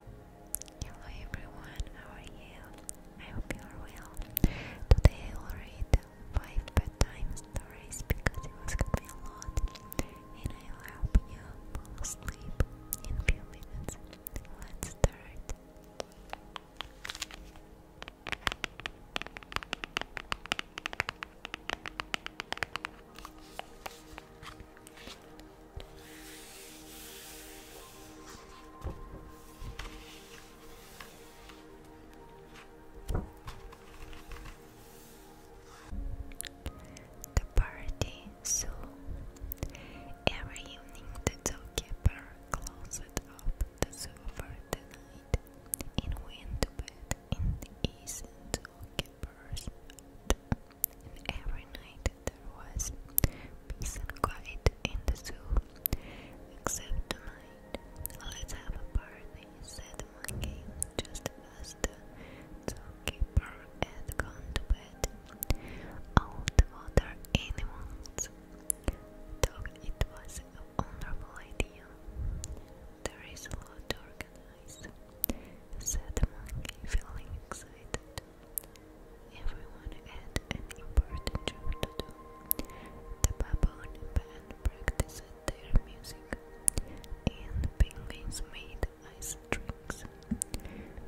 Hello everyone, how are you? I hope you are well. Today I will read 5 bedtime stories because it was gonna a lot and I will help you fall asleep in few minutes. Let's start. The party soon. Every evening the zookeeper closed up the zoo for the night and went in his gappers. every night there was peace and quiet in the zoo, except tonight. Let's have a party, said the monkey, just as the zookeeper had gone to bed. All oh, the water animals thought it was a wonderful idea. There is a lot to organize, said the monkey, feeling excited. Everyone had an important job to do. The baboon practiced their music, and penguins made ice drinks.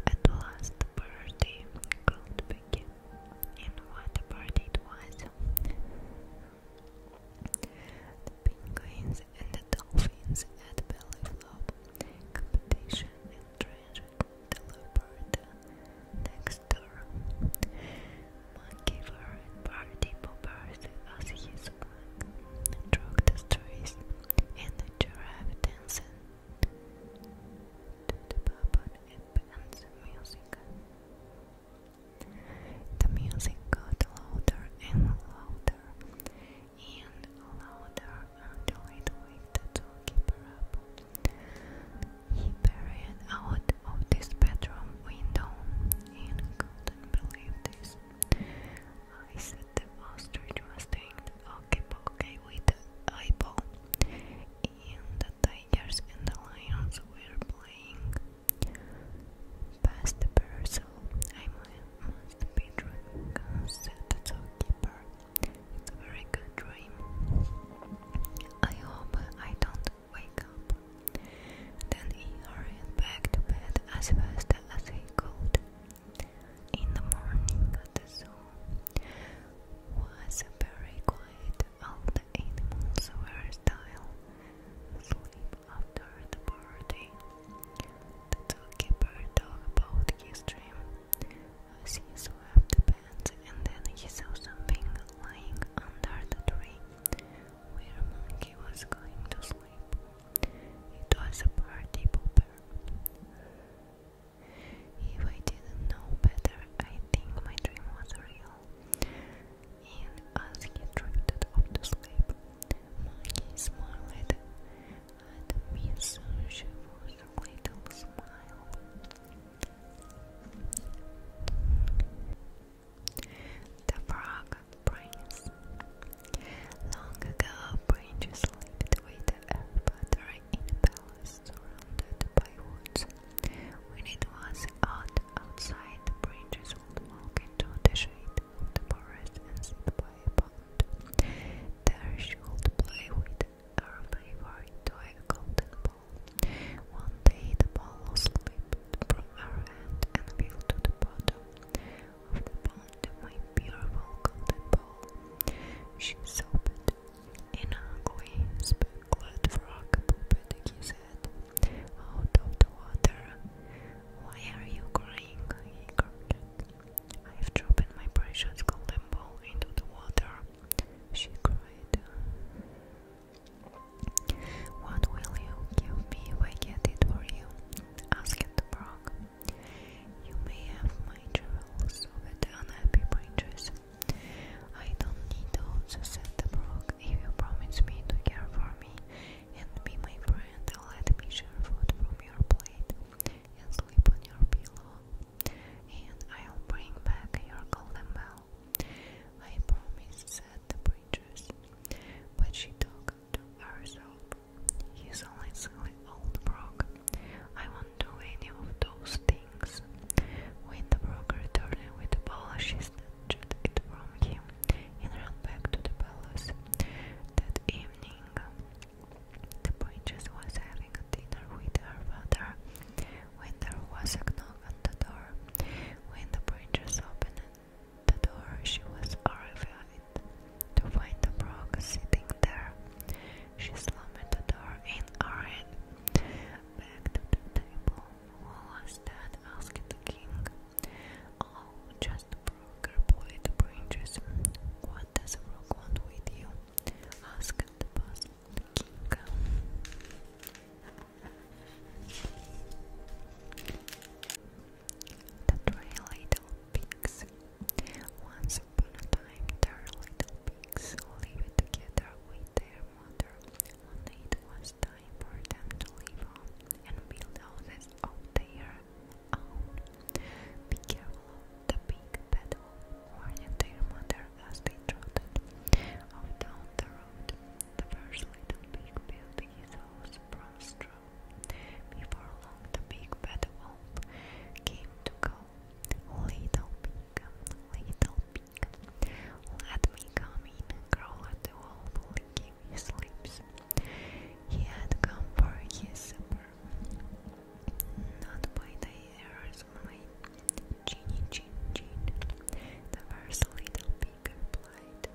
At last, the party could begin. And what a party it was! The penguins and the dolphins had belly Club, competition with tragic Delopard, next door. Monkey and party poppers as his work, drug destroys, and the giraffe dancing to the bubble and the music. The music got louder and louder and louder until it waked the toolkeeper up. He peered out of this bedroom window and couldn't believe this. I said the master was doing the okay with the eyeball, and the tigers and the lions were playing. Past the parcel, said the doorkeeper. It's a very good dream. I hope I don't wake up. Then he hurried back to bed as fast as he could. In the morning, the zoo was very quiet. All the animals were still asleep after the party. The zookeeper talked about his dream. he swept the pants, and then he saw something lying under the tree where Monkey was going to sleep. It was a party pooper. If I didn't know better, I think my dream was real. And as he drifted off to sleep, Maggie smiled at me, so she was a little smile. The Frog Prince Long ago, princes lived with a buttery in a palace surrounded by woods. When it was hot outside, the princes would walk into the shade of the forest and sit by by a pond. play with her favorite toy golden ball. One day the ball slipped from her hand and fell to the bottom of the pond, my beautiful golden ball. She sobbed. An ugly, speckled frog pooped his head out of the water. Why are you crying? he cried. I have dropped my precious golden ball into the water, she cried. What will you give me if I get it for you? asked the frog. You may have my jewels, said unhappy princess. I don't need those, said the frog. If you promise me to care for me and be my friend. Let me share food from your plate and sleep on your pillow. And I'll bring back your golden bell. I promise, said the princess. But she talked to herself. He's only silly old Brock. I won't do any of those things. When the broker returned with the polish, she snatched from him and ran back to the palace. That evening, the princess was having dinner with her father when there was a knock on the door. When the princess opened the door, she was horrified to find the frog sitting there. She slammed the door and hurried back to the table. Who was that? asked the king. Oh, just a broker, boy, the What does a want with you? asked the puzzled king. The three little pigs. Once upon a time, their little pigs lived together with their mother. One night was time time for them to live on and build houses of their own. Be careful of the big battle, warned their mother as they trotted off down the road. The first little pig built his house from Before long, the big bad wolf came to call. Little pig, little pig, let me come in, growled the wolf, licking his lips. He had come for his supper, not by the errors of my Chin Chin. The first little pig replied,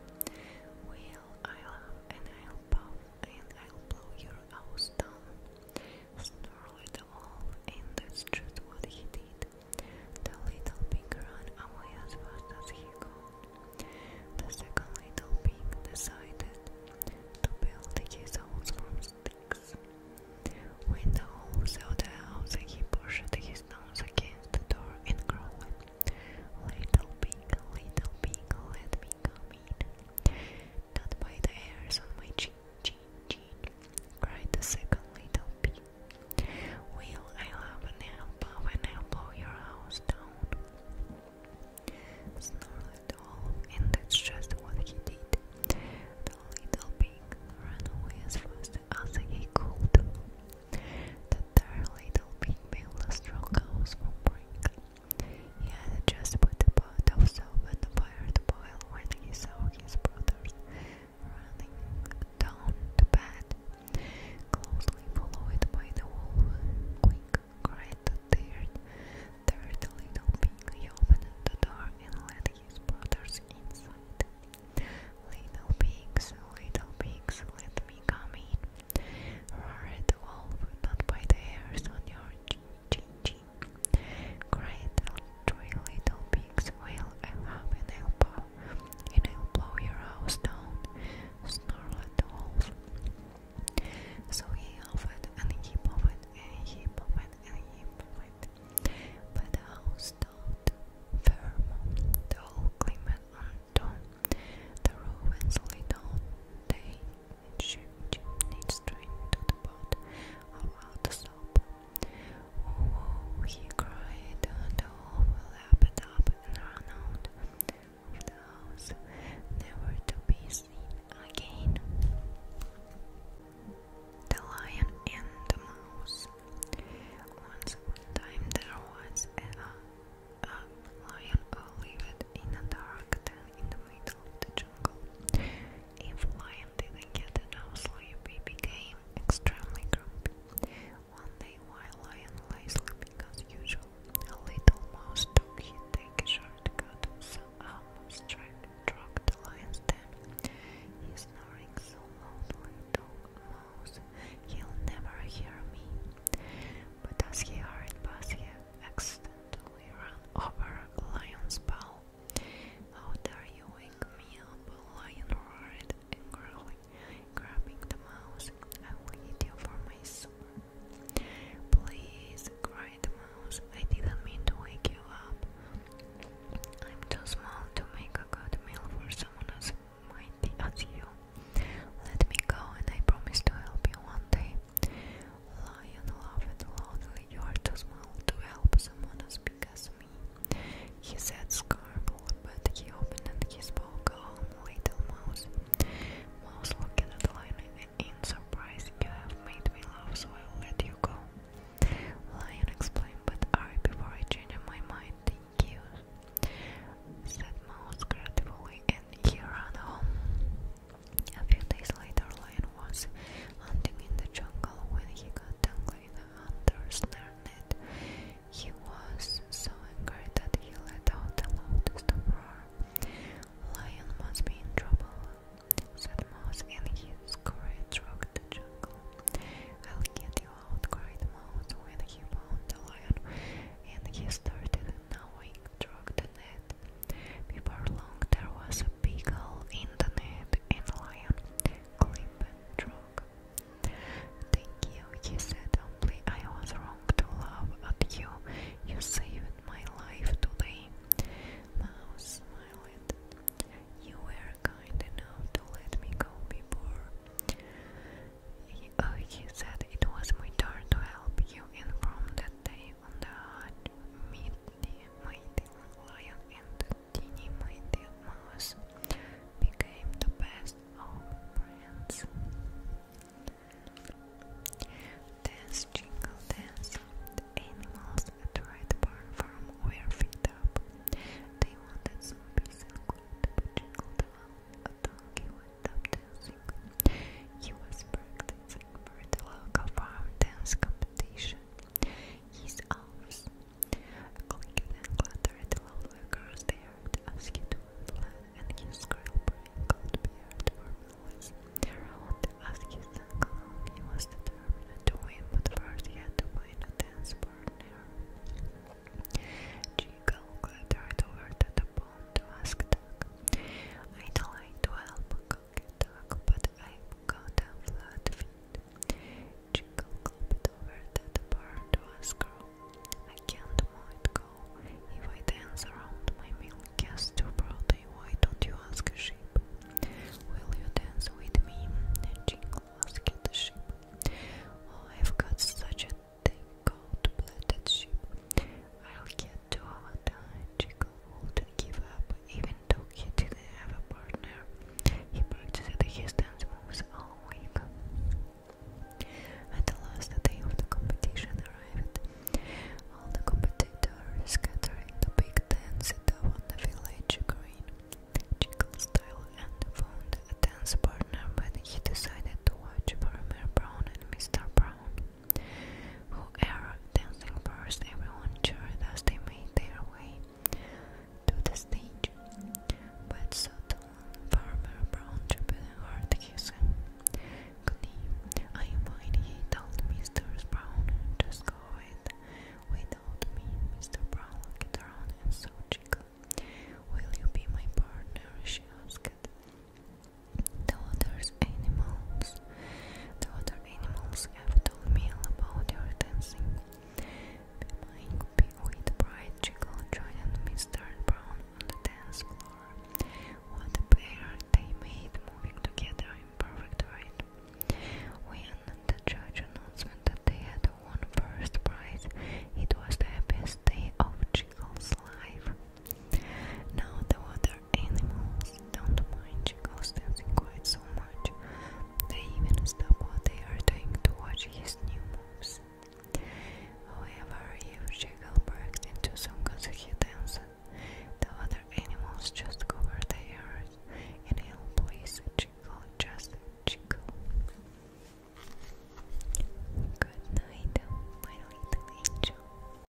Well, I'll and I'll bow and I'll blow your house down. Snarled the wolf, and that's just what he did. The little pig ran away as fast as he could. The second little pig decided to build his house from sticks. When the wolf saw the house, he pushed his nose against the door and growled, Little pig, little pig, let me come in. Not by the hairs on my chin, chin, chin, cried the second little pig. Will I love an elbow when I your house down? Snarled Olaf, and that's just what he did. The little pig ran away as fast as he could. The dear little pig built a strong house from brick. He had just put a pot of soap on the fire to boil when he saw his brothers running down the bed, closely followed by the wolf. Quick, cried the third, third little pig. opened the door and let his brothers inside. Little pigs, little pigs, let me come in. Roared the wolf, not by the hairs on your chin chin. Cried the three little pigs, this will I'll have an elbow and I'll blow your house down, snarled the wolf. So he offered and he offered and he offered and he offered. But the house stood firm, the whole climate undone, the ruins lay down, they should need straight to the pot of out the soap. Oh, he cried, and all lapped up and ran out of the house, never to be seen again. The Lion and the Mouse. Once upon a time there was a lion who lived in a dark den in the middle of the jungle. If lion didn't get enough sleep, he became extremely grumpy. One day while Lion lay sleeping as usual, a little mouse took him take a shortcut, so almost struck the lion's den. He's snoring so loudly, dog mouse, he'll never hear me. But as he hurried past, he accidentally ran over a lion's paw. How dare you wake me up, lion and growling, grabbing the mouse. I will eat you for my soul. Please, cried the mouse. I didn't mean to wake you up. I'm too small to make a good meal for someone as mighty as you. Let me go, and I promise to help you one day. Lion laughed loudly. You are too small to help someone as because me. He said Scarborough, but he opened and he spoke calm little mouse. Mouse looked at Lion in surprise. You have made me laugh, so I'll let you go. Lion explained, but I before I change my mind, thank you, said Mouse gratefully, and he ran home. A few days later, Lion was hunting in the jungle when he got tangled the hunters learned he was so angry that he let out a loudest roar. Lion must be in trouble, said Mouse in his courage rocked the jungle. I'll get you out, cried Mouse when he found the lion, and he started gnawing through the net. Before long there was a big hole in the net, and the lion, climbing Thank you, he said humbly. I was wrong to laugh at you. You saved my life today. Mouse smiled. You were kind enough to let me go before. He, oh, said it was my turn to help you, and from that day on the mighty lion and Dini, my dear mouse, became the best of friends. Dance, jingle, dance. The animals at Red Barn Farm were fed up. They wanted some peace and but Jingle the a donkey went dancing. He was practicing for the local farm dance competition. His arms Clink then clattered slowly across the yard as he twisted and his squirrel brain cold beard were always around as he sang along. He was determined to win, but first he had to find a dance partner. Jiggle clattered over to the pond to ask I'd like to help, can but I've got flat feet. Jingle gulped over that part was grow. I can't let go. If I dance around my milk gets too broadly, why don't you ask a sheep? Will you dance with me? Jingle asked the sheep. Oh, I've got such a thick coat, blooded sheep. I'll get to our time difficult to give up, even though he didn't have a partner. He purchased his dance moves all week. At the last day of the competition arrived, all the competitors scattering the big dance up on the village green, jingle style, and found a dance partner when he decided to watch Farmer Brown and Mr. Brown. Who are dancing first, everyone cheered as they made their way to the stage, but suddenly Farmer Brown tripped hard his knee. I'm he told Mr. Brown, just go it without me. Mr. Brown looked around and saw Chico. Will you be my partner? she asked. The other animals the other animals have told me all about your dancing. Behind with bright Chico joined Mr. Brown on the dance floor. What a pair they made, moving together in perfect rhythm. When the judge announcement that they had won first prize, it was the happiest day of Chico's life. Now the water animals don't mind Chico's dancing quite so much. They even stop what they are doing to watch his new moves. However, if Chico breaks into some he dances, the other animals just cover their ears and he'll please just Chico. Good night, my little angel.